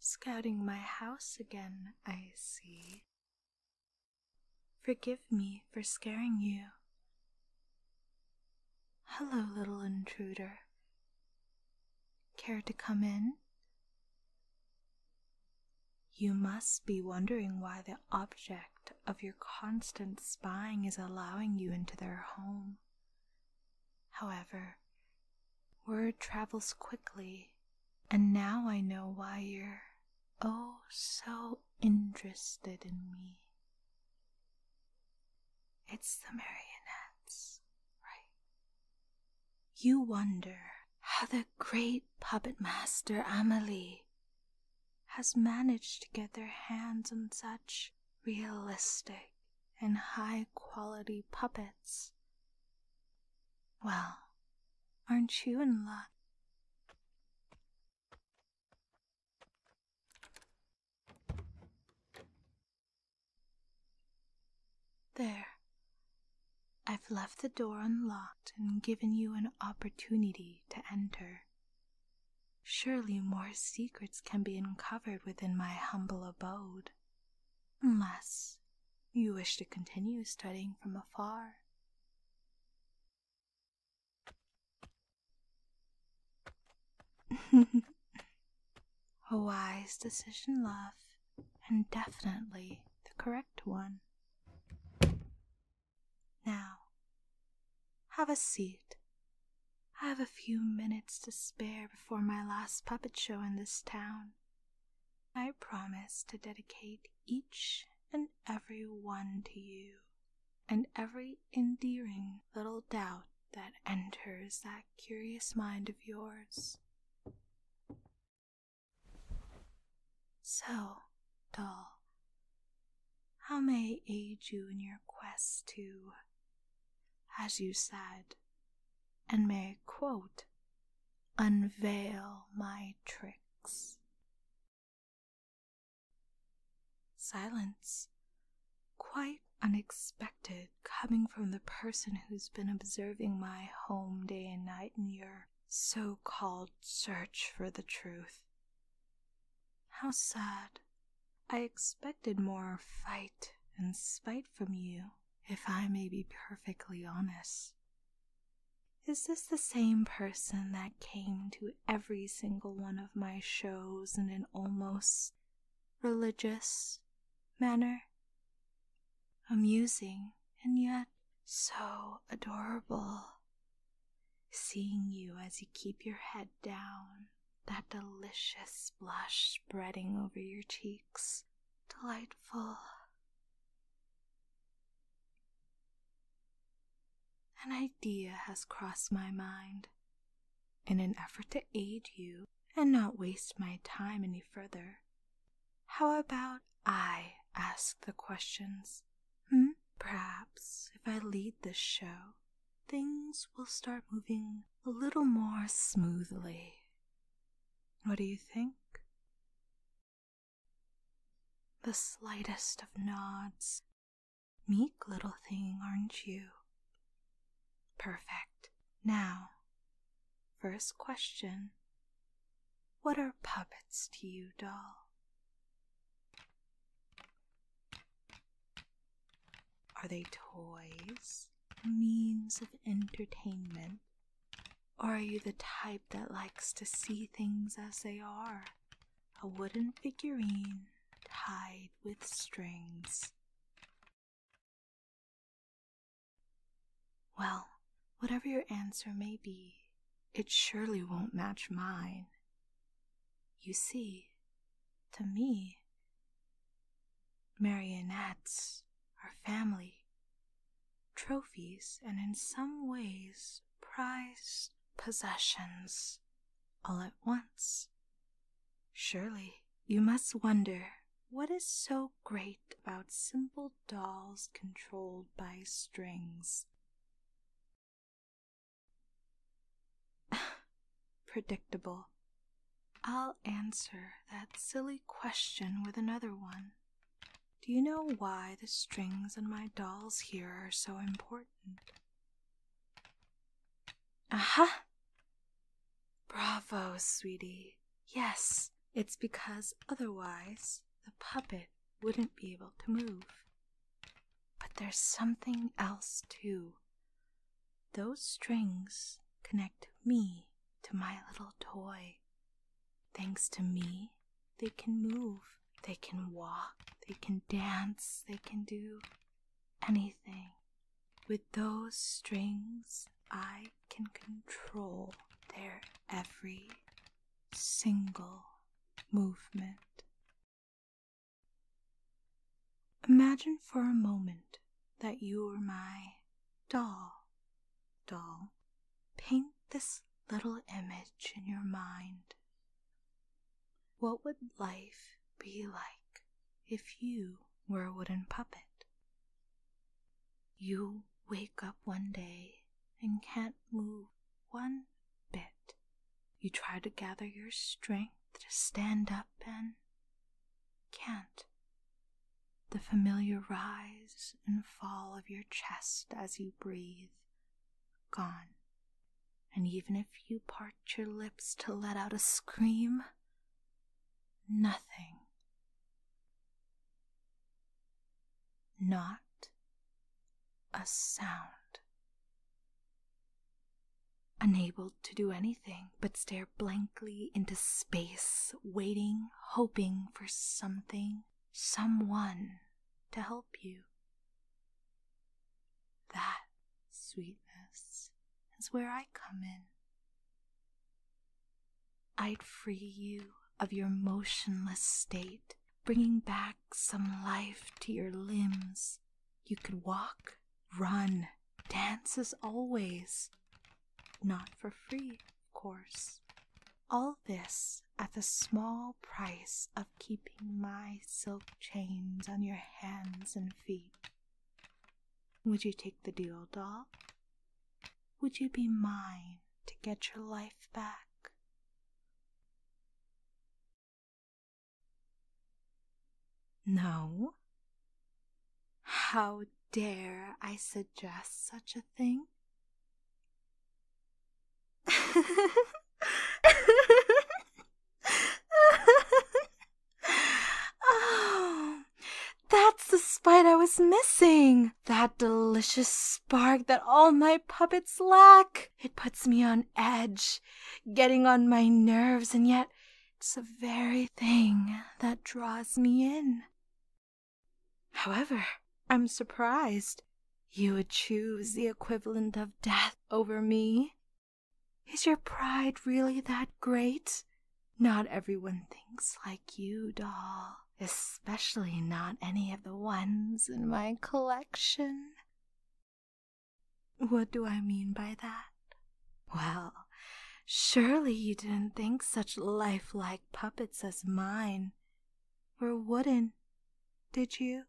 Scouting my house again, I see. Forgive me for scaring you. Hello, little intruder. Care to come in? You must be wondering why the object of your constant spying is allowing you into their home. However, word travels quickly, and now I know why you're oh so interested in me. It's the marionettes, right? you wonder how the great puppet master Amelie has managed to get their hands on such realistic and high quality puppets. Well, aren't you in luck? There. I've left the door unlocked and given you an opportunity to enter. Surely more secrets can be uncovered within my humble abode, unless you wish to continue studying from afar. A wise decision, love, and definitely the correct one. Now, have a seat. I have a few minutes to spare before my last puppet show in this town. I promise to dedicate each and every one to you, and every endearing little doubt that enters that curious mind of yours. So, doll, how may I aid you in your quest to, as you said, and may I quote, unveil my tricks? Silence quite unexpected coming from the person who's been observing my home day and night in your so called search for the truth. How sad. I expected more fight and spite from you, if I may be perfectly honest. Is this the same person that came to every single one of my shows in an almost religious manner. Amusing and yet so adorable. Seeing you as you keep your head down, that delicious blush spreading over your cheeks. Delightful. An idea has crossed my mind in an effort to aid you and not waste my time any further. How about I ask the questions? Hmm? Perhaps if I lead this show, things will start moving a little more smoothly. What do you think? The slightest of nods Meek little thing, aren't you? Perfect. Now, first question What are puppets to you, doll? Are they toys, means of entertainment, or are you the type that likes to see things as they are a wooden figurine tied with strings. Well, whatever your answer may be, it surely won't match mine. You see, to me, marionettes are family, trophies, and in some ways prized possessions all at once. Surely you must wonder what is so great about simple dolls controlled by strings. Predictable. I'll answer that silly question with another one. Do you know why the strings on my dolls here are so important? Aha! uh Bravo, sweetie. Yes, it's because otherwise the puppet wouldn't be able to move. But there's something else, too. Those strings connect me to my little toy. Thanks to me, they can move, they can walk, they can dance, they can do anything. With those strings, I can control their every single movement. Imagine for a moment that you're my doll. Doll, paint this little image in your mind what would life be like if you were a wooden puppet? You wake up one day and can't move one bit. You try to gather your strength to stand up and can't. The familiar rise and fall of your chest as you breathe gone. And even if you part your lips to let out a scream, nothing. Not a sound. Unable to do anything but stare blankly into space, waiting, hoping for something someone to help you. That sweetness is where I come in. I'd free you of your motionless state, bringing back some life to your limbs. You could walk, run, dance as always, not for free, course. All this at the small price of keeping my silk chains on your hands and feet. Would you take the deal, doll? Would you be mine to get your life back? No. How dare I suggest such a thing? oh, that's the spite I was missing. That delicious spark that all my puppets lack. It puts me on edge, getting on my nerves, and yet it's the very thing that draws me in. However, I'm surprised you would choose the equivalent of death over me. Is your pride really that great? Not everyone thinks like you, doll, especially not any of the ones in my collection. What do I mean by that? Well, surely you didn't think such life-like puppets as mine were wooden, did you?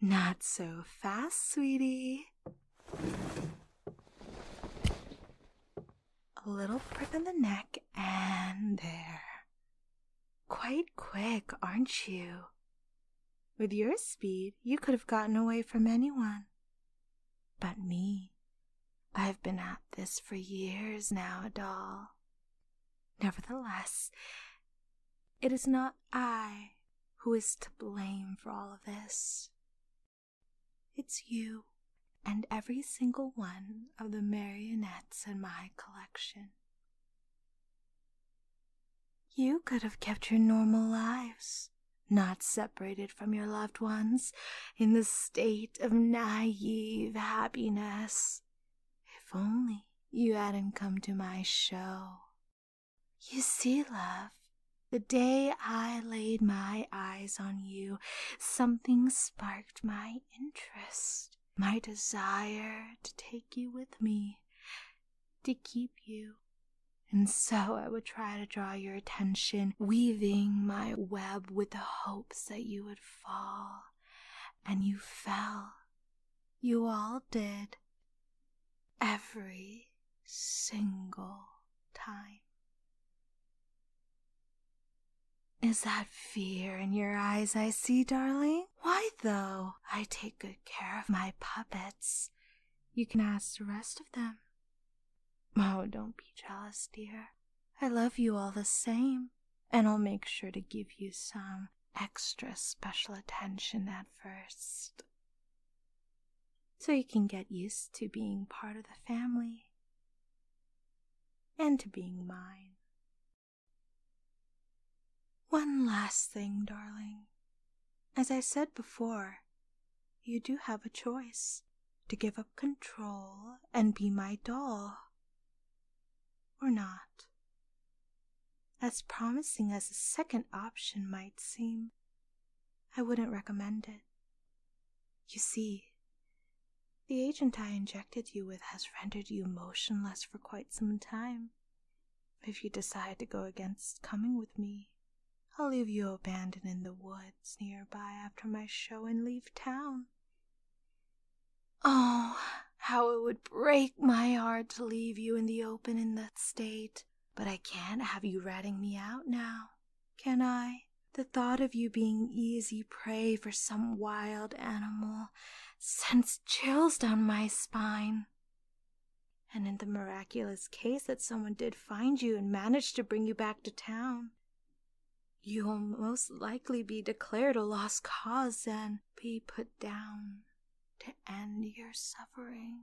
Not so fast, sweetie. A little prick in the neck, and there. Quite quick, aren't you? With your speed, you could have gotten away from anyone but me. I've been at this for years now, doll. Nevertheless, it is not I who is to blame for all of this. It's you and every single one of the marionettes in my collection. You could have kept your normal lives not separated from your loved ones, in the state of naive happiness. If only you hadn't come to my show. You see, love, the day I laid my eyes on you, something sparked my interest, my desire to take you with me to keep you. And so I would try to draw your attention, weaving my web with the hopes that you would fall. And you fell. You all did. Every single time. Is that fear in your eyes I see, darling? Why, though, I take good care of my puppets you can ask the rest of them. Oh, don't be jealous, dear. I love you all the same, and I'll make sure to give you some extra special attention at first. So you can get used to being part of the family and to being mine. One last thing, darling. As I said before, you do have a choice to give up control and be my doll or not. As promising as a second option might seem, I wouldn't recommend it. You see, the agent I injected you with has rendered you motionless for quite some time, if you decide to go against coming with me, I'll leave you abandoned in the woods nearby after my show and leave town. Oh, how it would break my heart to leave you in the open in that state. But I can't have you ratting me out now, can I? The thought of you being easy prey for some wild animal sends chills down my spine. And in the miraculous case that someone did find you and manage to bring you back to town, you will most likely be declared a lost cause and be put down to end your suffering.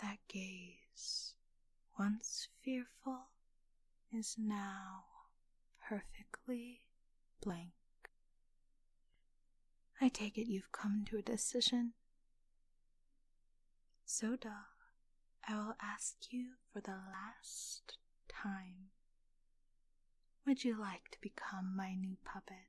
That gaze, once fearful, is now perfectly blank. I take it you've come to a decision. So, Soda, I will ask you for the last time. Would you like to become my new puppet?